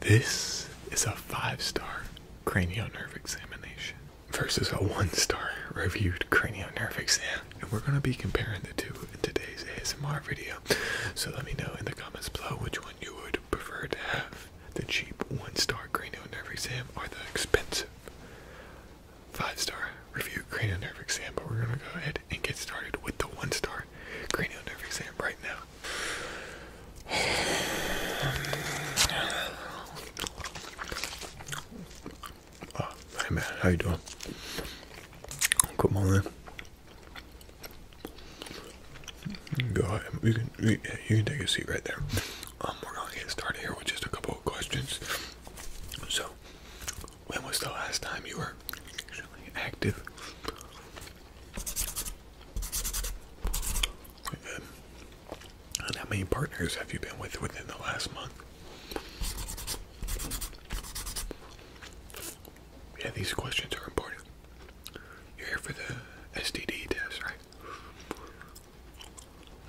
This is a five star cranial nerve examination versus a one star reviewed cranial nerve exam. And we're going to be comparing the two in today's ASMR video. So let me know in the comments below which one you would prefer to have the cheap one star cranial nerve exam or the expensive five star review cranial nerve exam. But we're going to go ahead and get started with the one star cranial nerve exam right now. Oh, hey man, how you doing? Come on then. Go ahead. You can take a seat right there. Um, we're gonna get started here with just a couple of questions. So, when was the last time you were actually active? And how many partners have you been with within the last month? Yeah, these questions are important. You're here for the STD test, right?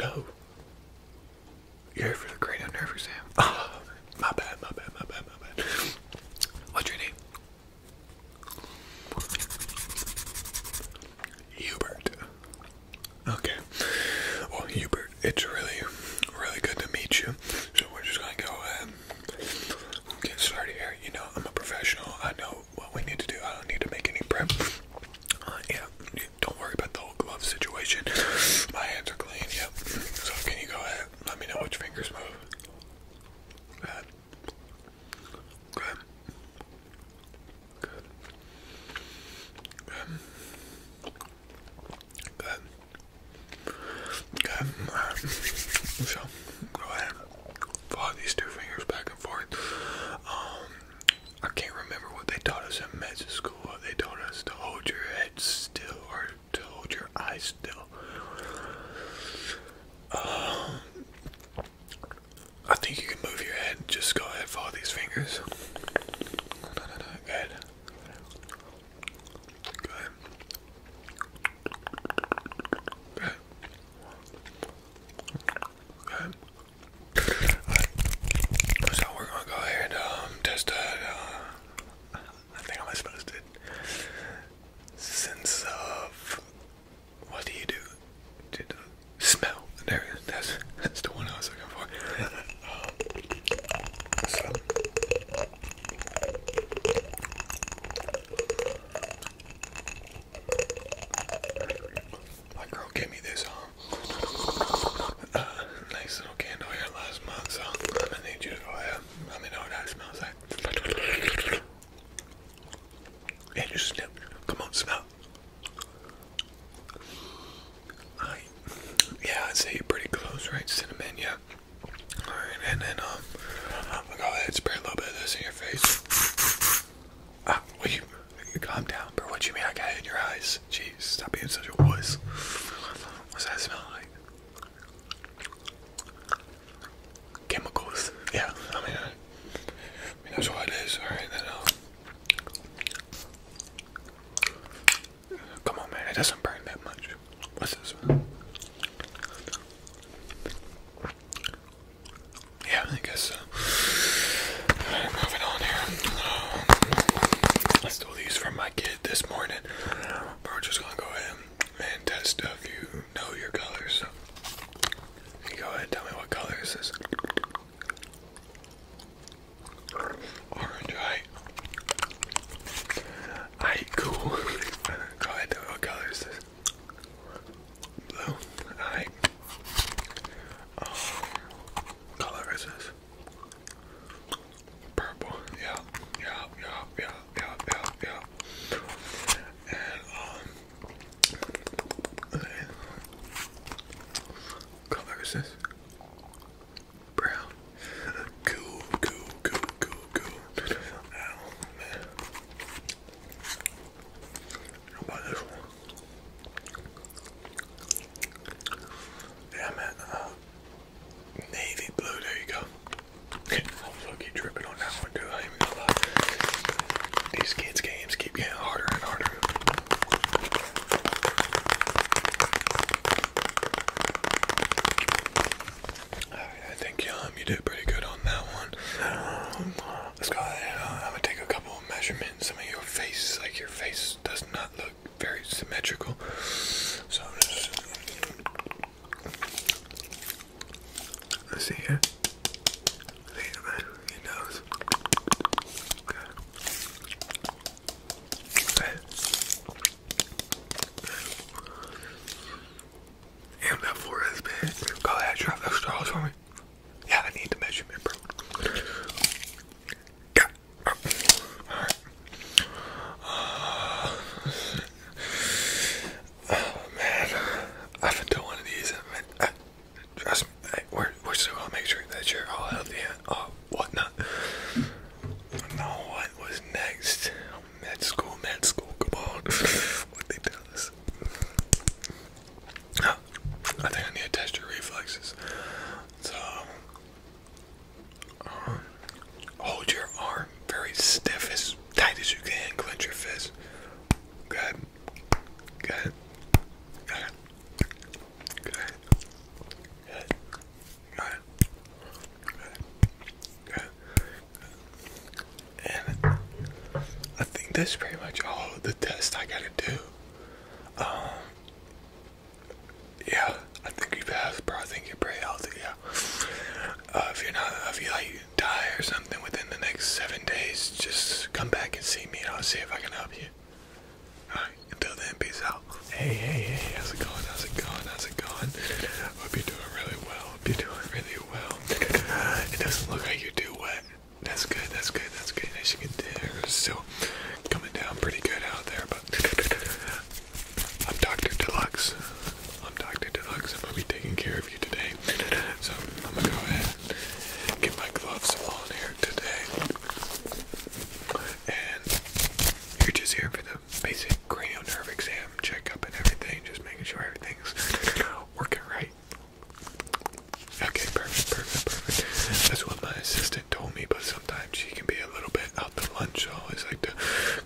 No. You're here for the cranial nerve exam. Oh, my bad, my bad, my bad, my bad. What's your name? Hubert. Okay. Well, Hubert, it's really, really good to meet you. So we're just gonna go ahead and started here. You know, I'm a professional. I know what we need to do. I don't need to make any prep. Uh, yeah, don't worry about the whole glove situation. My hands are clean. Yep. So can you go ahead? Let me know which fingers move. Good. Good. Good. Good. Good. So go ahead and these two fingers back and forth. Um I can't remember what they taught us in med school. They taught us to hold your head still or to hold your eyes still. Um, I think you can move your head. Just go ahead, follow these fingers. No, no, no, no. Good. Good. Good. Good. Alright. So we're gonna go ahead and um, test that. Uh, think I'm supposed to sense of what do you do? smell. There That's, that's the one I was looking for. My girl gave me this um, uh, nice little candle here last month, so i need you to go ahead. Let me know what that smells like. Yeah, just snip. Come on, smell. I, yeah, I'd say you're pretty close, right? Cinnamon, yeah. Alright, and then, um, I'll go ahead and spray a little bit of this in your face. Ah, will calm down, bro? What you mean I got it in your eyes? Jeez, stop being such a wuss. What's that smell like? chemicals. Yeah, I mean, that's what it is. All right, then. Uh, come on, man. It doesn't burn that much. What's this? One? Yeah, I guess so. moving on here. Um, I stole these from my kid this morning. we're just gonna go ahead and test a few know your colors. You go ahead tell me what color is this. Orange, right? Alright, cool. go ahead and tell me what color is this. Blue, alright. Um, color is this? Purple, yeah, yeah, yeah, yeah, yeah, yeah and um, color is this? Brown. Cool, cool, cool, cool, cool. Ow, man. How this one? Yeah, man. Uh, navy blue. There you go. I'm fucking tripping on that one, too. I These kids' games keep getting harder and harder. I think um, you did pretty good on that one. let's go uh, I'm gonna take a couple measurements. Some of your face, like your face, does not look very symmetrical. So I see it. I see it, He knows. Okay. that forehead's big. Go ahead, drop those straws for me. Yeah, I need the measurement, bro. Yeah. Oh man, I've been to one of these. I mean, I, trust me, we're we're still gonna make sure that you're all healthy and all uh, whatnot. Now what was next? Med school, med school. Come what they tell us. Ah, I think I need to test your reflexes. So, um, hold your arm very stiff, as tight as you can. Clench your fist. Good. Good. Good. Good. Good. Good. Good. And I think that's pretty much all the tests I gotta do. Um yeah, I think you passed, bro. I think you're pretty healthy, yeah. if you're not, if you like die or something within the next seven days, just come back and see me and I'll see if I can help you. Alright, until then, peace out. Hey, hey, hey, how's it going? How's it going? How's it going? Hope you're doing really well. Hope you're doing really well. It doesn't look like you are too wet. That's good, that's good, that's good. As you can tell, it's still coming down pretty good out there, but I'm Dr. Deluxe. I'm Dr. I'm gonna be taking care of you today. So I'm gonna go ahead and get my gloves on here today. And you're just here for the basic cranial nerve exam, checkup and everything, just making sure everything's working right. Okay, perfect, perfect, perfect. That's what my assistant told me, but sometimes she can be a little bit out the lunch. So I always like to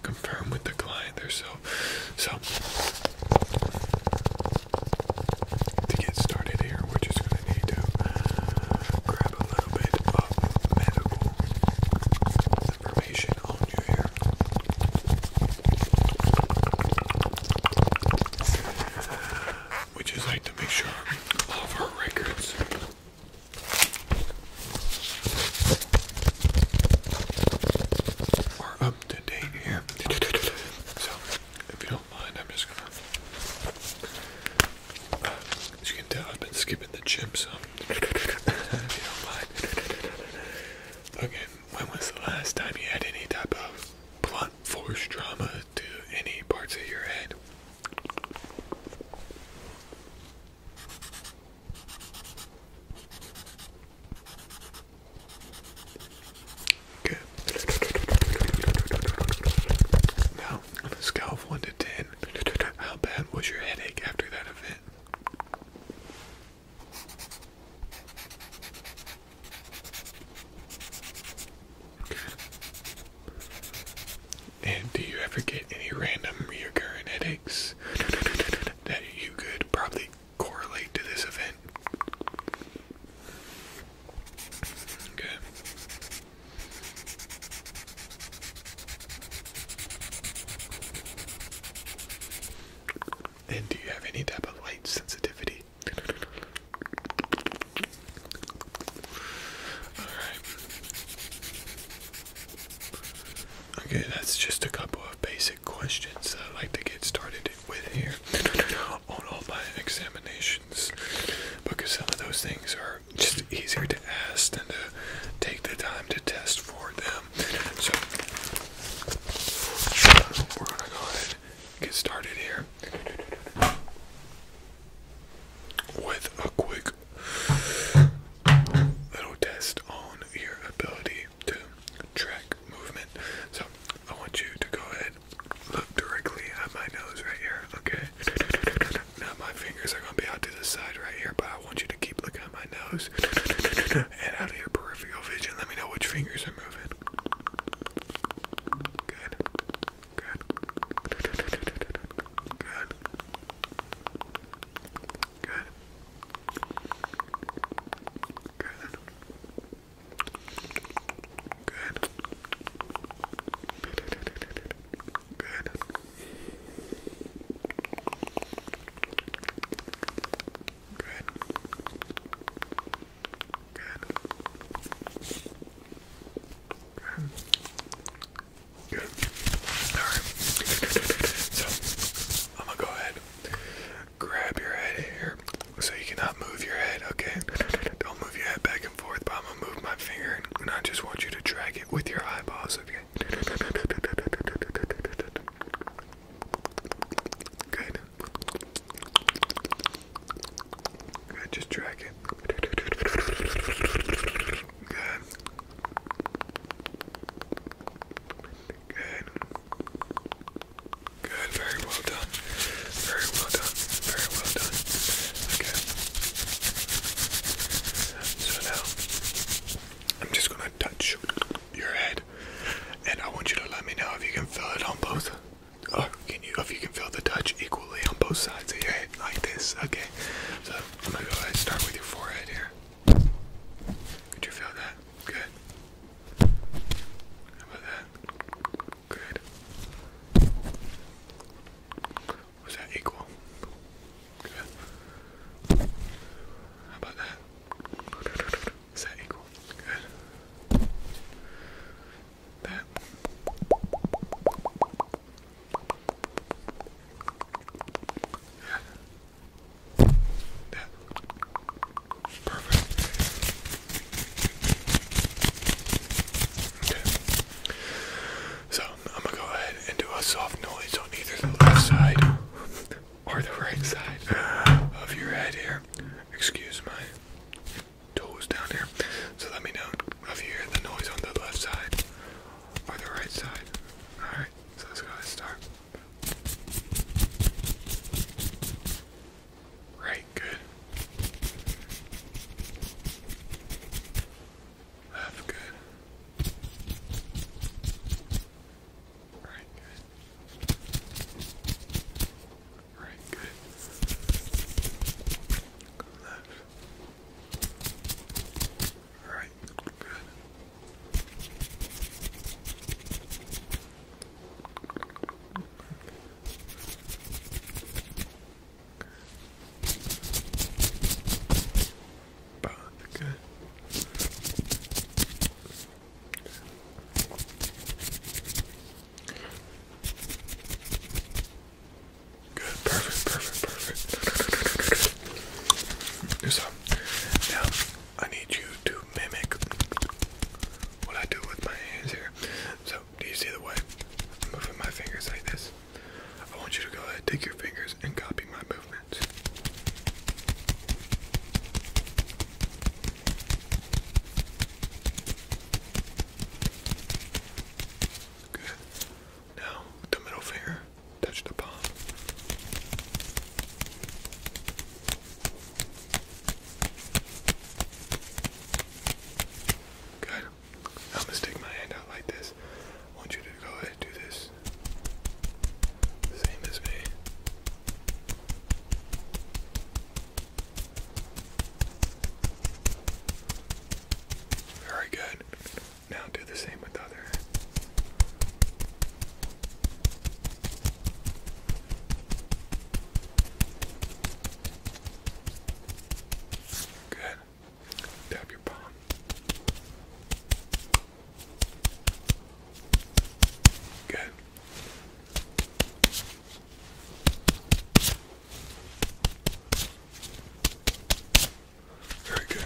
confirm with the client there's so to get started here we're just gonna need to uh, grab a little bit of information on you here we just like to make sure all of our records are up up to So, if you don't mind, I'm just gonna. as you can tell, I've been skipping the gym some. if you don't mind. Okay, when was the last time you had any type of blunt force trauma to any parts of your head? Good. Now, on a scale of 1 to 10, how bad was your headache after that event? And do you ever get any random recurrent headaches that you could probably correlate to this event. Okay. And do you have any type of light sensitivity? Alright. Okay, that's just a couple of basic questions that I like to get started with here on all my examinations because some of those things are just easier to ask than to take the time to test for them. So we're gonna get started here with a quick little test on your ability to track movement. So I want you to go ahead, look directly at my nose right here, okay? Now my fingers are gonna be out to the side right here, but I want you to keep looking at my nose and out of your peripheral vision. Let me know which fingers are moving. Good. Good. Good. Good. Good. Good. Good. Good. Good. Good. Good. Alright. So I'm gonna go ahead grab your head here so you cannot move your head, okay? Don't move your head back and forth, but I'm gonna move my finger and I just want you to drag it with your eyeballs, okay? Good. Good, just drag it. Good. Good. Good, very well done. Very well done. Very well done. Okay. So now I'm just gonna touch your head and I want you to let me know if you can feel it on both or can you if you can feel the touch equally on both sides of your head like this. Okay. So I'm gonna go ahead and start with your forehead here. Could you feel that? Good. How about that? Good. Was that equal? Good. How about that? Is that equal? Good. That. Perfect. Okay. So I'm gonna go ahead and do a soft noise on either the left side or the right side of your head here. Excuse my toes down here. So let me know if you hear the noise on the left side or the right side. Alright, so let's go ahead and start. Right, good. Left, good. Right, good. Right, good. Left. Right, good. Both good. Good, perfect, perfect, perfect. So, now I need you to mimic what I do with my hands here. So, do you see the way I'm moving my fingers like this? I want you to go ahead, take your fingers, and copy my movements. Good. Now, the middle finger, touch the palm. Good. I'm gonna stick my hand out like this. I want you to go ahead and do this. Same as me. Very good. Now do the same with the other. Good. Tap your palm. Good. Very good.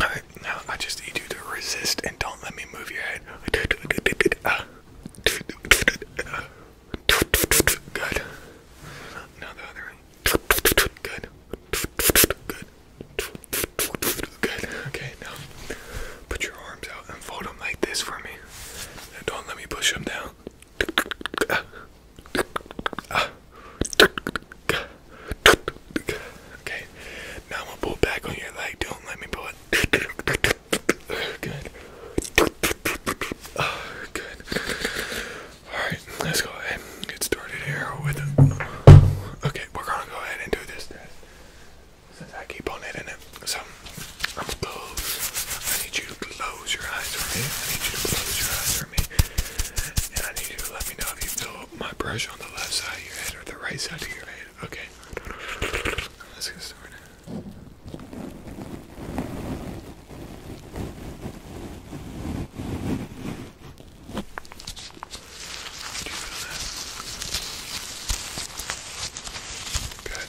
Alright, now I just need you to resist and don't let me move your head. Ah. Good. Now the other way. Good. Good. Good. Okay, now put your arms out and fold them like this for me. And don't let me push them down. Okay, now I'm gonna pull back on your leg. Don't let me pull it. Good. Oh, good. Alright, let's go ahead and get started here with. Okay, we're gonna go ahead and do this test since I keep on hitting it. So, I'm close. I need you to close your eyes for me. I need you to close your eyes for me. And I need you to let me know if you feel my brush on the left side of your head or the right side of your head. Okay, right, let's get started. Do you feel that? Good.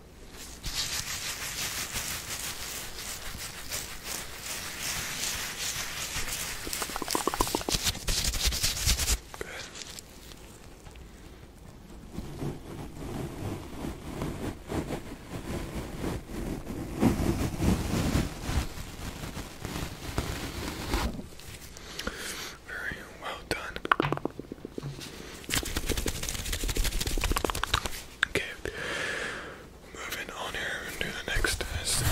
Very well done. Okay, moving on here and the next test.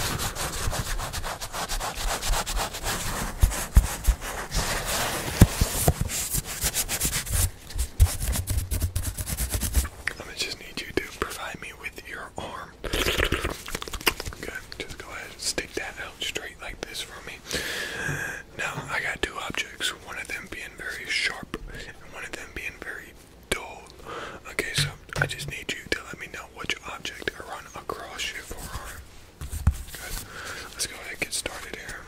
I'm gonna just need you to provide me with your arm. Good, just go ahead and stick that out straight like this for me. Now, I got two objects, one of them being very sharp and one of them being very dull. Okay, so I just need you to let me know which object I run across your forearm. Good. Let's go ahead and get started here.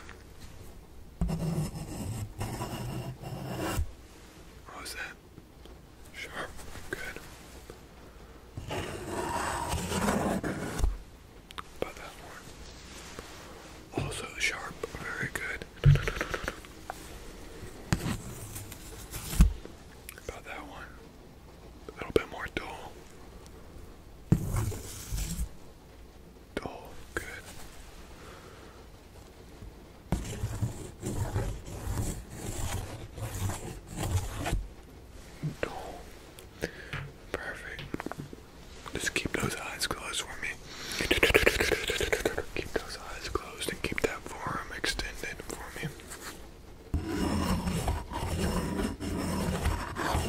What was that? Sharp. Good about that one. Also sharp, very good. About that one. A little bit more dull. Dull, good. Dull. Perfect. Just keep those eyes closed for me. Keep those eyes closed and keep that forearm extended for me. How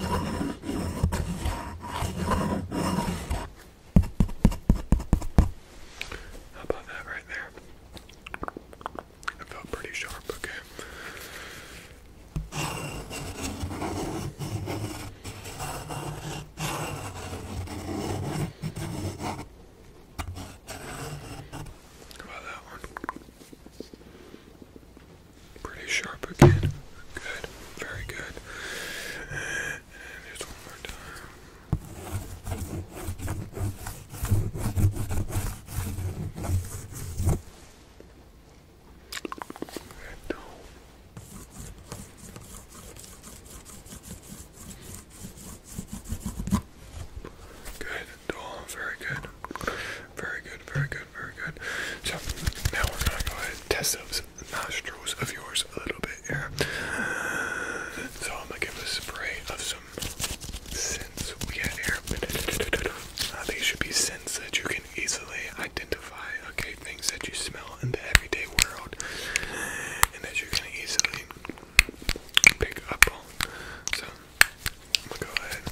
about that right there? I felt pretty sharp, okay about that one? Pretty sharp again. Good. Very good. And just one more time. Good. Oh, very good. Very good, very good, very good. So now we're gonna go ahead and test those nostrils of yours a little bit here. So I'm gonna give a spray of some scents we get here. Uh, these should be scents that you can easily identify okay things that you smell in the everyday world and that you can easily pick up on. So I'm gonna go ahead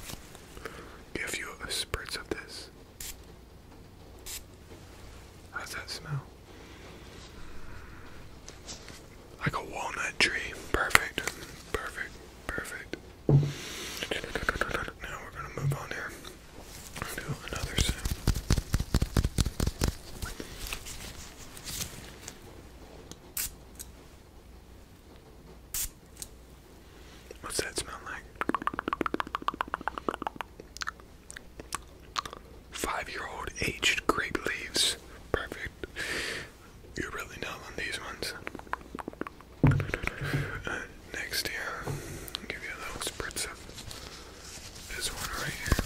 give you a spritz of this. How's that smell? Like a walnut tree. Perfect. Perfect. Perfect. Now we're gonna move on here. What's that smell like? Five-year-old aged grape leaves. Perfect. you really dumb these ones. Next here, give you a little spritz of this one right here.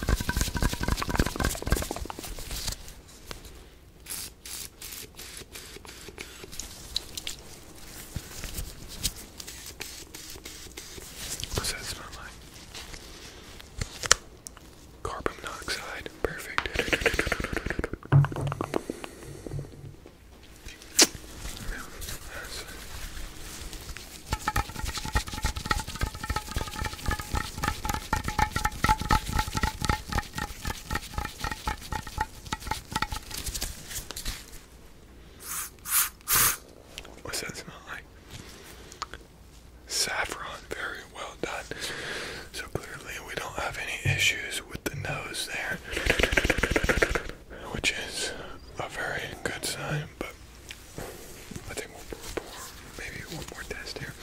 What's that smell like? Carbon monoxide, perfect. What's that smell like? Saffron, very well done. So clearly, we don't have any issues with the nose there, which is a very good sign, but I think we'll maybe one more test here.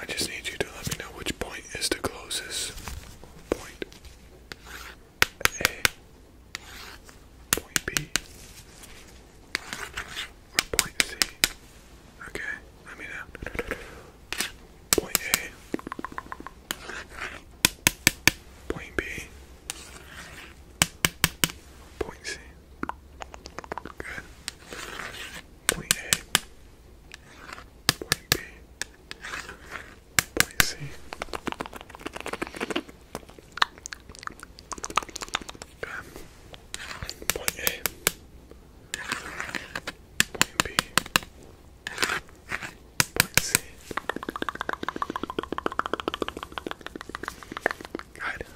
I just need you to let me know which point is the closest point. A, point B, point C. Okay, let me know. Point A, point B, Point C. Good. Point A. Point B. Point C. Good. Point A. Point B. Point C. Point A.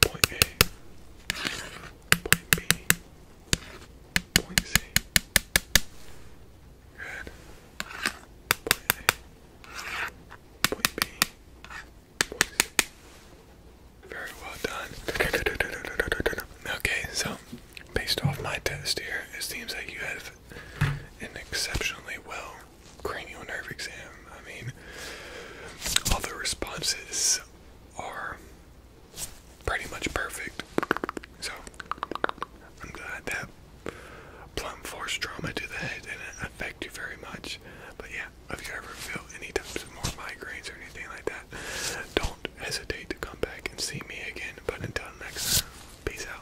Point B. Point C. Good. Point A. Point B. Point C. Very well done. Okay, so based off my test here, it seems like you have an exceptionally well cranial nerve exam. I mean, all the responses are pretty much perfect. So, I'm glad that plumb force trauma to the head didn't affect you very much. But yeah, if you ever feel any types of more migraines or anything like that, don't hesitate to come back and see me again. But until next peace out.